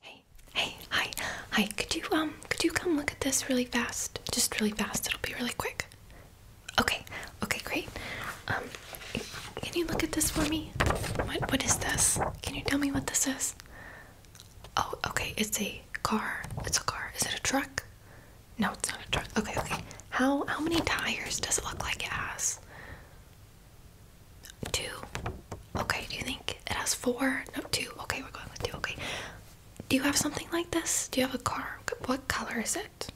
Hey, hey, hi, hi. Could you um, could you come look at this really fast? Just really fast. It'll be really quick. Okay, okay, great. Um, can you look at this for me? What what is this? Can you tell me what this is? Oh, okay. It's a car. It's a car. Is it a truck? No, it's not a truck. Okay, okay. How how many tires does it look like it has? two. Okay, do you think it has four? No, two. Okay, we're going with two. Okay. Do you have something like this? Do you have a car? What color is it?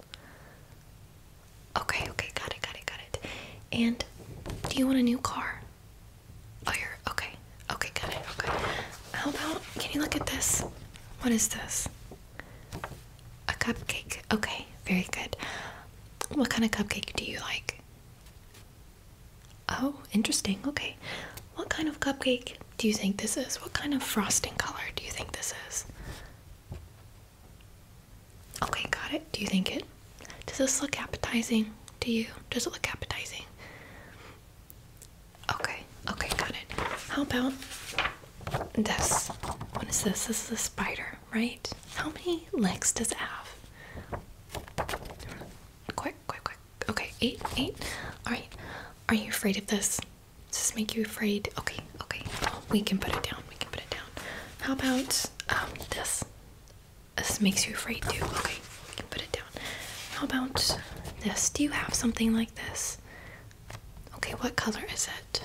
Okay, okay, got it, got it, got it. And do you want a new car? Oh, you're okay. Okay, got it. Okay. How about can you look at this? What is this? A cupcake. Okay, very good. What kind of cupcake do you like? Oh, interesting. Okay. What kind of cupcake do you think this is? What kind of frosting color do you think this is? Okay, got it. Do you think it? Does this look appetizing to you? Does it look appetizing? Okay, okay, got it. How about this? What is this? This is a spider, right? How many legs does it have? Quick, quick, quick. Okay, eight, eight. Alright. Are you afraid of this? Does this make you afraid? Okay, okay. We can put it down. We can put it down. How about um, this? This makes you afraid too. Okay, we can put it down. How about this? Do you have something like this? Okay, what color is it?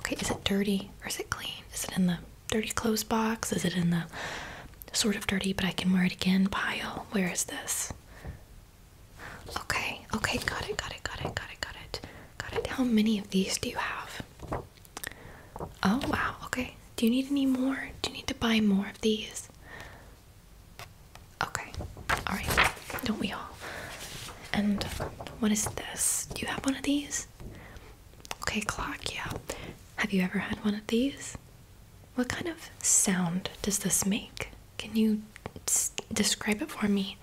Okay, is it dirty or is it clean? Is it in the dirty clothes box? Is it in the sort of dirty but I can wear it again pile? Where is this? Okay, okay, got it, got it, got it, got it, got it. Got it. How many of these do you have? Oh wow, okay. Do you need any more? Do you need to buy more of these? Okay. Alright. Don't we all? And what is this? Do you have one of these? Okay, clock, yeah. Have you ever had one of these? What kind of sound does this make? Can you describe it for me?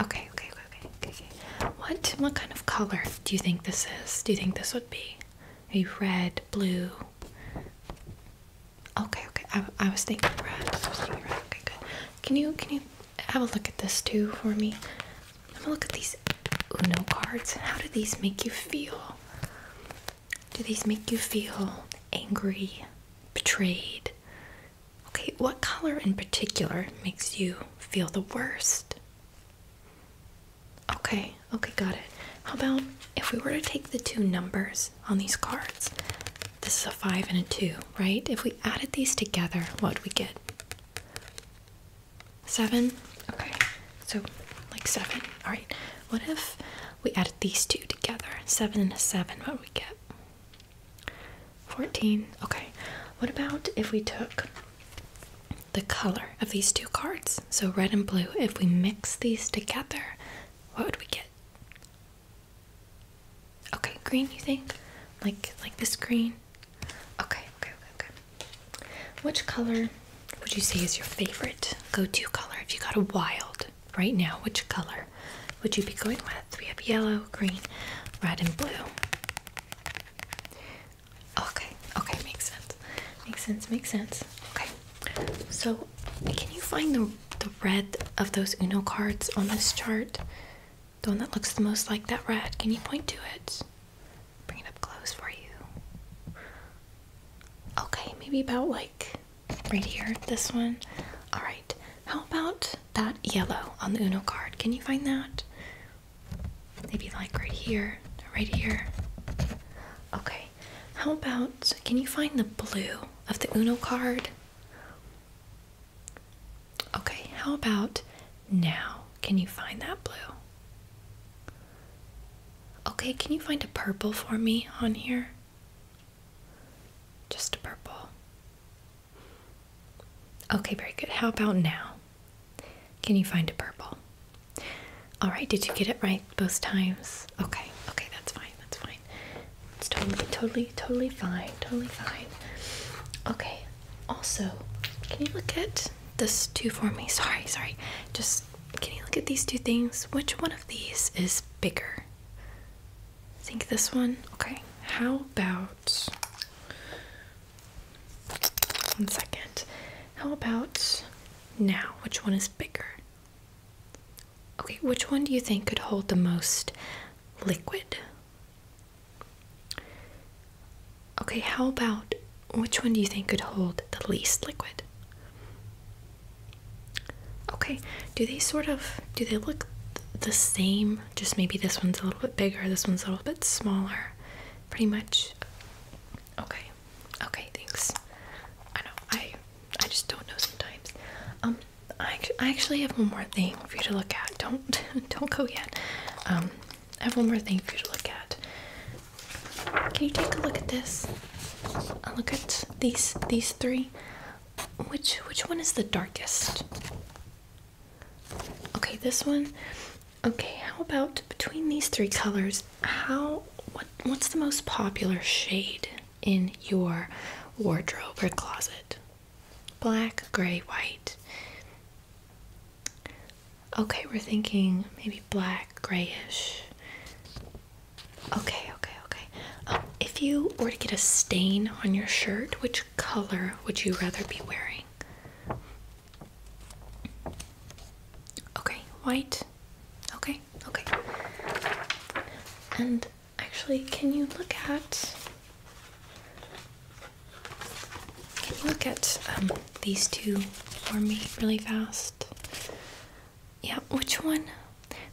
Okay, okay, okay, okay, okay. What what kind of color do you think this is? Do you think this would be? Are you red, blue? Okay, okay. I, I was thinking red. I was thinking red. Okay, good. Can you can you have a look at this too for me? I'm look at these Uno cards. How do these make you feel? Do these make you feel angry, betrayed? Okay, what color in particular makes you feel the worst? Okay, okay, got it. How about if we were to take the two numbers on these cards? This is a 5 and a 2, right? If we added these together, what would we get? Seven? Okay, so like seven. Alright, what if we add these two together? Seven and a seven, what would we get? 14. Okay, what about if we took the color of these two cards? So red and blue, if we mix these together, what would we get? Okay, green you think? Like like this green? Okay, okay, okay, okay. Which color would you say is your favorite go-to color? If you got a wild right now, which color would you be going with? We have yellow, green, red, and blue. Okay, okay, makes sense. Makes sense, makes sense. Okay. So can you find the the red of those Uno cards on this chart? The one that looks the most like that red. Can you point to it? Bring it up close for you. Okay, maybe about like right here, this one. Alright, how about that yellow on the Uno card? Can you find that? Maybe like right here, right here. Okay, how about can you find the blue of the Uno card? Okay, how about now? Can you find that blue? Okay, can you find a purple for me on here? Just a purple. Okay, very good. How about now? Can you find a purple? All right, did you get it right both times? Okay, okay, that's fine, that's fine. It's totally, totally, totally fine, totally fine. Okay, also, can you look at this two for me? Sorry, sorry. Just can you look at these two things? Which one of these is bigger? think this one. Okay. How about one second. How about now? Which one is bigger? Okay, which one do you think could hold the most liquid? Okay, how about which one do you think could hold the least liquid? Okay, do they sort of do they look the same? Just maybe this one's a little bit bigger, this one's a little bit smaller. Pretty much. Okay. Okay, thanks. I know I I just don't know sometimes. Um I I actually have one more thing for you to look at. Don't don't go yet. Um, I have one more thing for you to look at. Can you take a look at this? look at these these three. Which which one is the darkest? Okay, this one. Okay, how about between these three colors, how what what's the most popular shade in your wardrobe or closet? Black, gray, white. Okay, we're thinking maybe black, grayish. Okay, okay, okay. Um, if you were to get a stain on your shirt, which color would you rather be wearing? Okay, white. Okay, okay. And actually, can you look at can you look at um, these two for me really fast? Yeah, which one?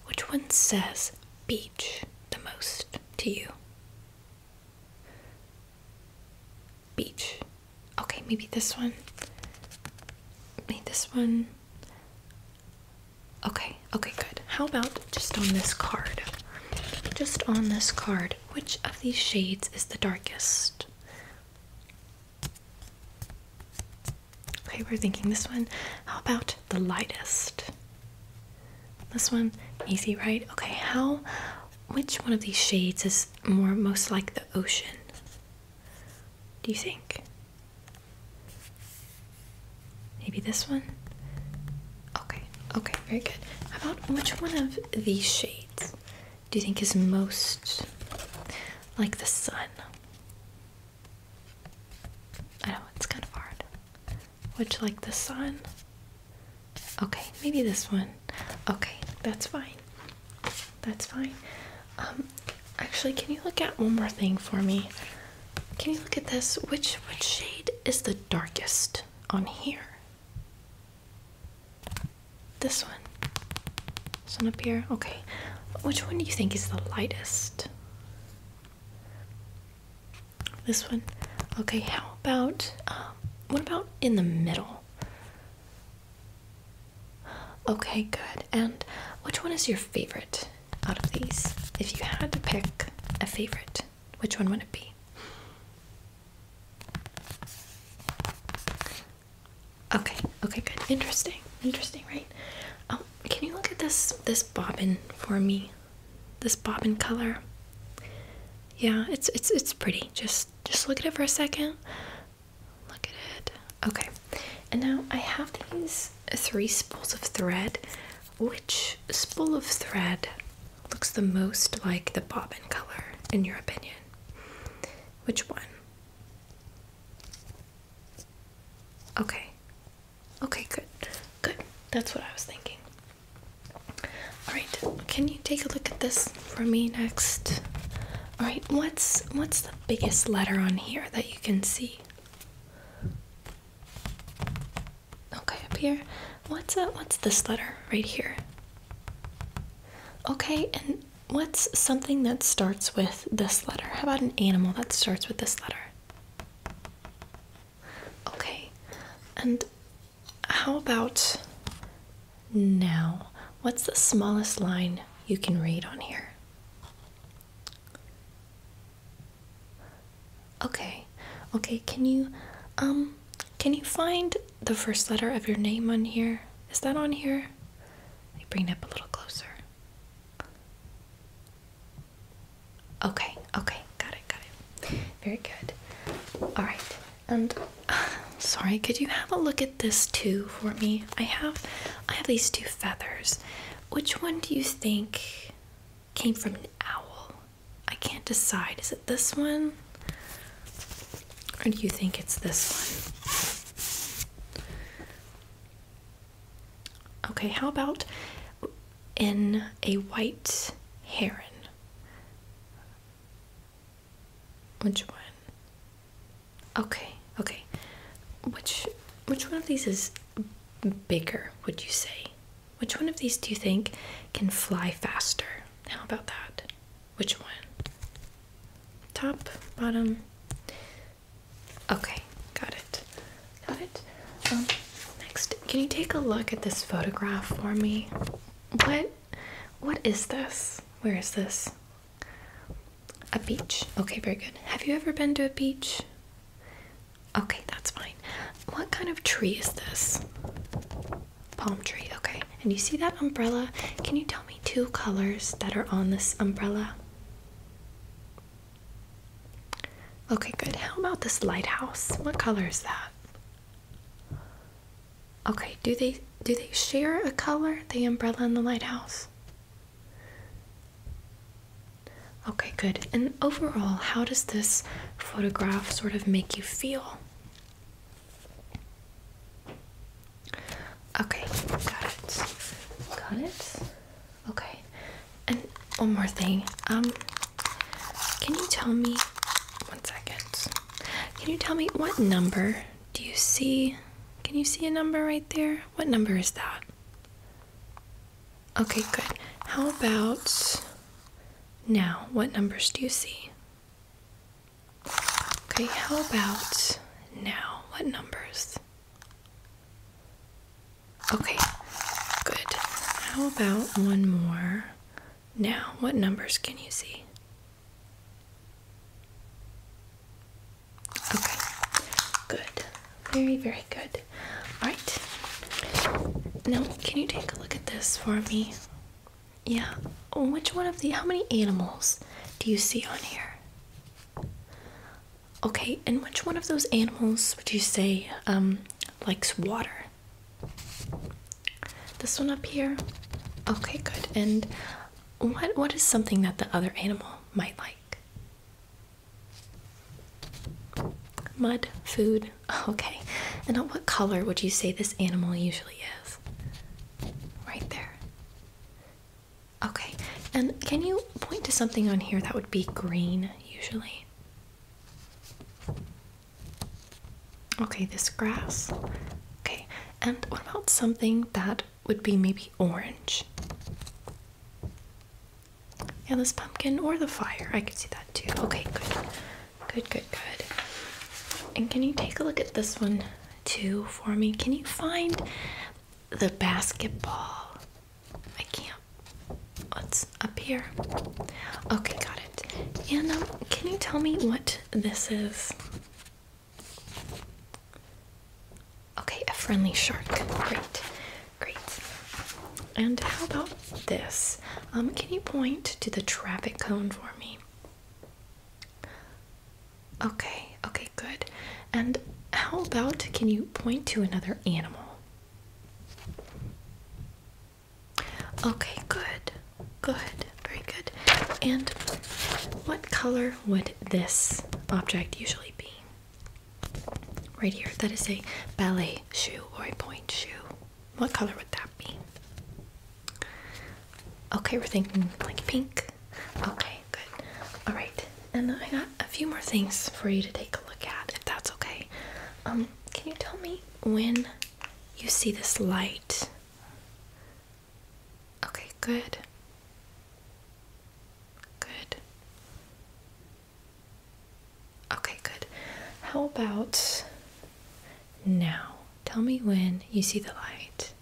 Which one says beach the most to you? Beach. Okay, maybe this one. Maybe this one. Okay, okay, good. How about just on this card? Just on this card, which of these shades is the darkest? Okay, we're thinking this one. How about the lightest? This one, easy, right? Okay, how, which one of these shades is more, most like the ocean? Do you think? Maybe this one? Okay, okay, very good. How about which one of these shades do you think is most like the sun? I know it's kind of hard. Which like the sun? Okay, maybe this one. Okay, that's fine. That's fine. Um actually can you look at one more thing for me? Can you look at this? Which which shade is the darkest? on here. This one. This one up here. Okay. Which one do you think is the lightest? This one? Okay, how about, um, what about in the middle? Okay, good. And which one is your favorite out of these? If you had to pick a favorite? Which one would it be? Okay, okay, good. Interesting. Interesting, right? Um, can you look at this this bobbin for me? This bobbin color. Yeah, it's it's it's pretty. Just just look at it for a second. Look at it. Okay. And now I have these three spools of thread. Which spool of thread looks the most like the bobbin color, in your opinion? Which one? Okay. Okay, good. Good. That's what I was thinking. Alright, can you take a look at this for me next? Alright, what's what's the biggest letter on here that you can see? Okay, up here. What's uh, what's this letter right here? Okay, and what's something that starts with this letter? How about an animal that starts with this letter? Okay, and how about now? What's the smallest line you can read on here? Okay. Okay, can you um can you find the first letter of your name on here? Is that on here? bring it up a little closer. Okay, okay, got it, got it. Very good. All right, and sorry, could you have a look at this too for me? I have, I have these two feathers. Which one do you think came from an owl. I can't decide. Is it this one? Or do you think it's this one? Okay, how about in a white heron? Which one? Okay, okay. Which which one of these is bigger, would you say? Which one of these do you think can fly faster? How about that? Which one? Top, bottom. Okay, got it. Got it. Um, next, can you take a look at this photograph for me? What what is this? Where is this? A beach. Okay, very good. Have you ever been to a beach? Okay, that's fine. What kind of tree is this? Palm tree, okay. And you see that umbrella? Can you tell me two colors that are on this umbrella? Okay, good. How about this lighthouse? What color is that? Okay, do they do they share a color, the umbrella and the lighthouse? Okay, good. And overall, how does this photograph sort of make you feel? Okay, got it. Got it. Okay. And one more thing. Um can you tell me one second. Can you tell me what number do you see? Can you see a number right there? What number is that? Okay, good. How about now? What numbers do you see? Okay, how about now? What numbers? Okay, good. How about one more? Now, what numbers can you see? Okay, good. Very, very good. Alright. Now, can you take a look at this for me? Yeah. Which one of the. How many animals do you see on here? Okay, and which one of those animals would you say um, likes water? This one up here? Okay, good. And what what is something that the other animal might like? Mud, food. Okay. And what color would you say this animal usually is? Right there. Okay. And can you point to something on here that would be green usually? Okay, this grass. Okay. And what about something that would be maybe orange? Yeah, this pumpkin or the fire. I could see that too. Okay, good. Good, good, good. And can you take a look at this one too for me? Can you find the basketball? I can't. What's up here? Okay, got it. And um, can you tell me what this is? Okay, a friendly shark. Great. Great. And how about this? Um, can you point to the traffic cone for me? Okay, okay, good. And how about can you point to another animal? Okay, good, good, very good. And what color would this object usually be? Right here, that is a ballet shoe or a point shoe. What color would that be? Okay, we're thinking like pink. Okay, good. All right, and I got a few more things for you to take a look at, if that's okay. Um, can you tell me when you see this light? Okay, good. Good. Okay, good. How about now? Tell me when you see the light.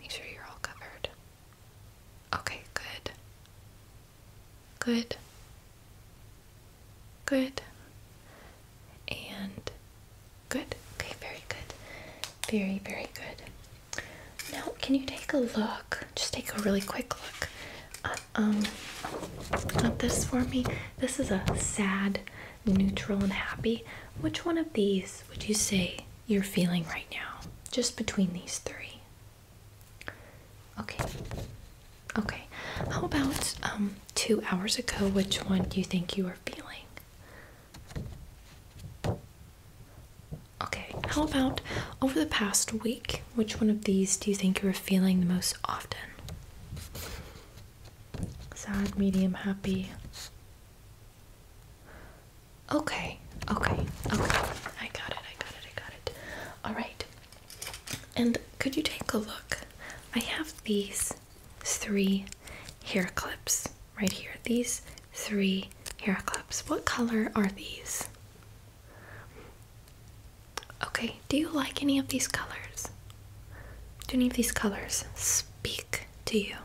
Make sure you're all covered. Okay, good. Good. Good. And good. Okay, very good. Very, very good. Now, can you take a look just take a really quick look uh, um, at this for me. This is a sad, neutral, and happy. Which one of these would you say you're feeling right now? Just between these three. Okay. Okay. How about um, two hours ago? Which one do you think you are feeling? Okay, how about over the past week, which one of these do you think you were feeling the most often? Sad, medium, happy. Okay, okay, okay. I got it, I got it, I got it. Alright. And could you take a look? I have these three hair clips right here. These three hair clips. What color are these? Okay, do you like any of these colors? Do any of these colors speak to you?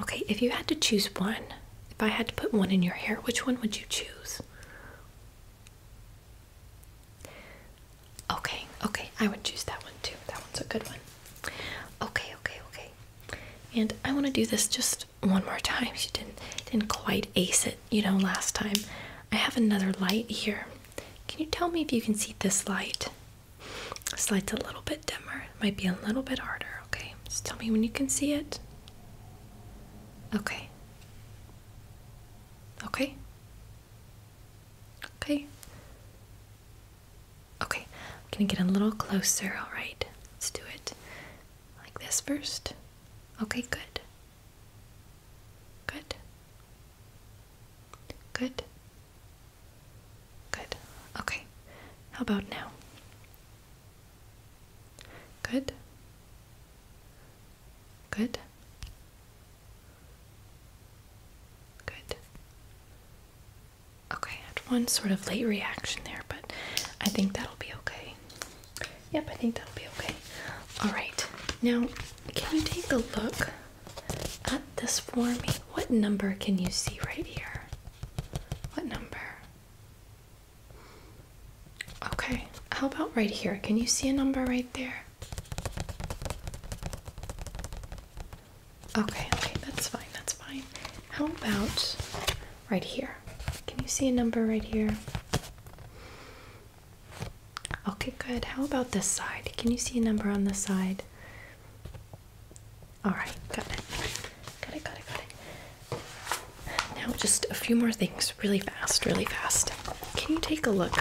Okay, if you had to choose one, if I had to put one in your hair, which one would you choose? Okay, okay, I would choose that one too. That one's a good one. Okay, okay, okay. And I want to do this just one more time. She didn't didn't quite ace it, you know, last time. I have another light here. Can you tell me if you can see this light? This light's a little bit dimmer. might be a little bit harder, okay? Just tell me when you can see it. Okay. Okay. Okay. Okay. I'm gonna get a little closer, alright? Let's do it. Like this first? Okay, good. Good. Good. Good. Okay. How about now? Good. Good. Good. Okay, I had one sort of late reaction there, but I think that'll be okay. Yep, I think that'll be okay. Alright, now can you take a look at this for me? What number can you see right here? What number? Okay, how about right here? Can you see a number right there? Okay, okay, that's fine, that's fine. How about right here? Can you see a number right here? Okay, good. How about this side? Can you see a number on this side? All right, got it. Got it, got it, got it. Now, just a few more things really fast, really fast. Can you take a look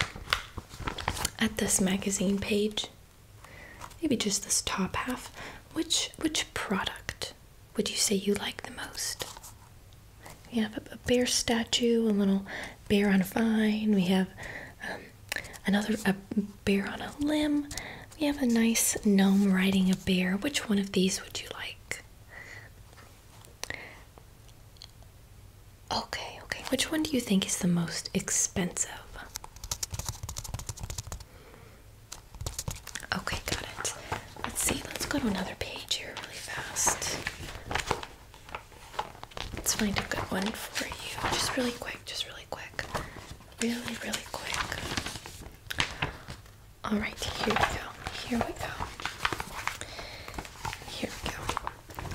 at this magazine page? Maybe just this top half. Which which product would you say you like the most? We have a, bear statue, a little bear on a vine. We have um, another a bear on a limb. We have a nice gnome riding a bear. Which one of these would you like? Okay, okay. Which one do you think is the most expensive? Okay, got it. Let's see, let's go to another page here really fast. Let's find a good one for you. Just really quick, just really quick. Really, really quick. Alright, here we go. Here we go. Here we go.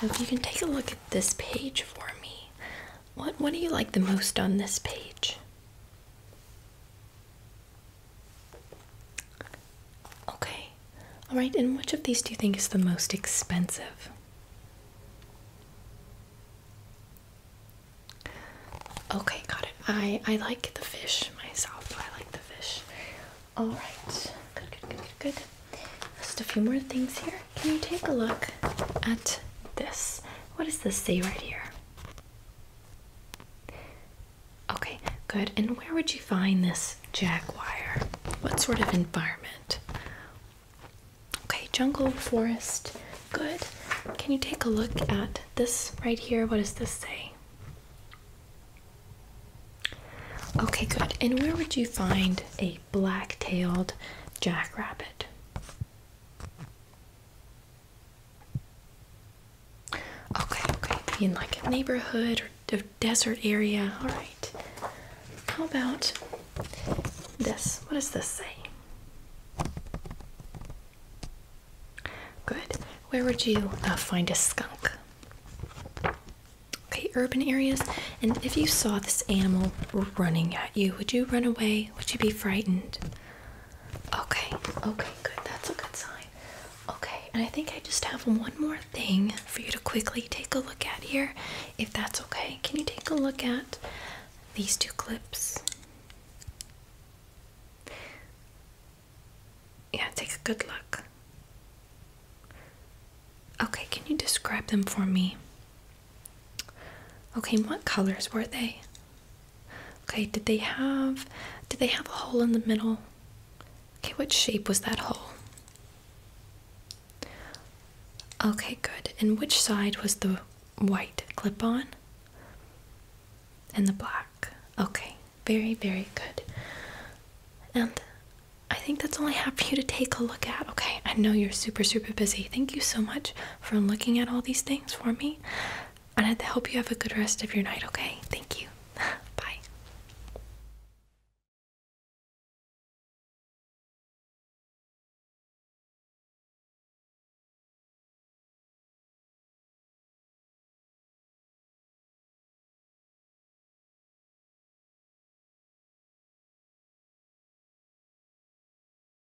So if you can take a look at this page for me. What what do you like the most on this page? Okay. All right, and which of these do you think is the most expensive? Okay, got it. I I like the fish myself. I like the fish. All right. Good, good, good, good, good. Just a few more things here. Can you take a look at this? What does this say right here? Okay, good. And where would you find this jaguar? What sort of environment? Okay, jungle, forest. Good. Can you take a look at this right here? What does this say? Okay, good. And where would you find a black tailed jackrabbit? Okay, okay. In like a neighborhood or a desert area. All right. How about this? What does this say? Good. Where would you uh, find a skunk? Okay, urban areas. And if you saw this animal running at you, would you run away? Would you be frightened? Okay, okay, good. That's a good sign. Okay, and I think I just have one more thing for you to quickly take a look at here, if that's okay. Can you take a look at these two clips? Yeah, take a good look. Okay, can you describe them for me? Okay, what colors were they? Okay, did they have did they have a hole in the middle? Okay, what shape was that hole? Okay, good. And which side was the white clip on? And the black. Okay, very, very good. And I think that's all I have for you to take a look at. Okay, I know you're super, super busy. Thank you so much for looking at all these things for me. And I hope you have a good rest of your night, okay? Thank you. Bye.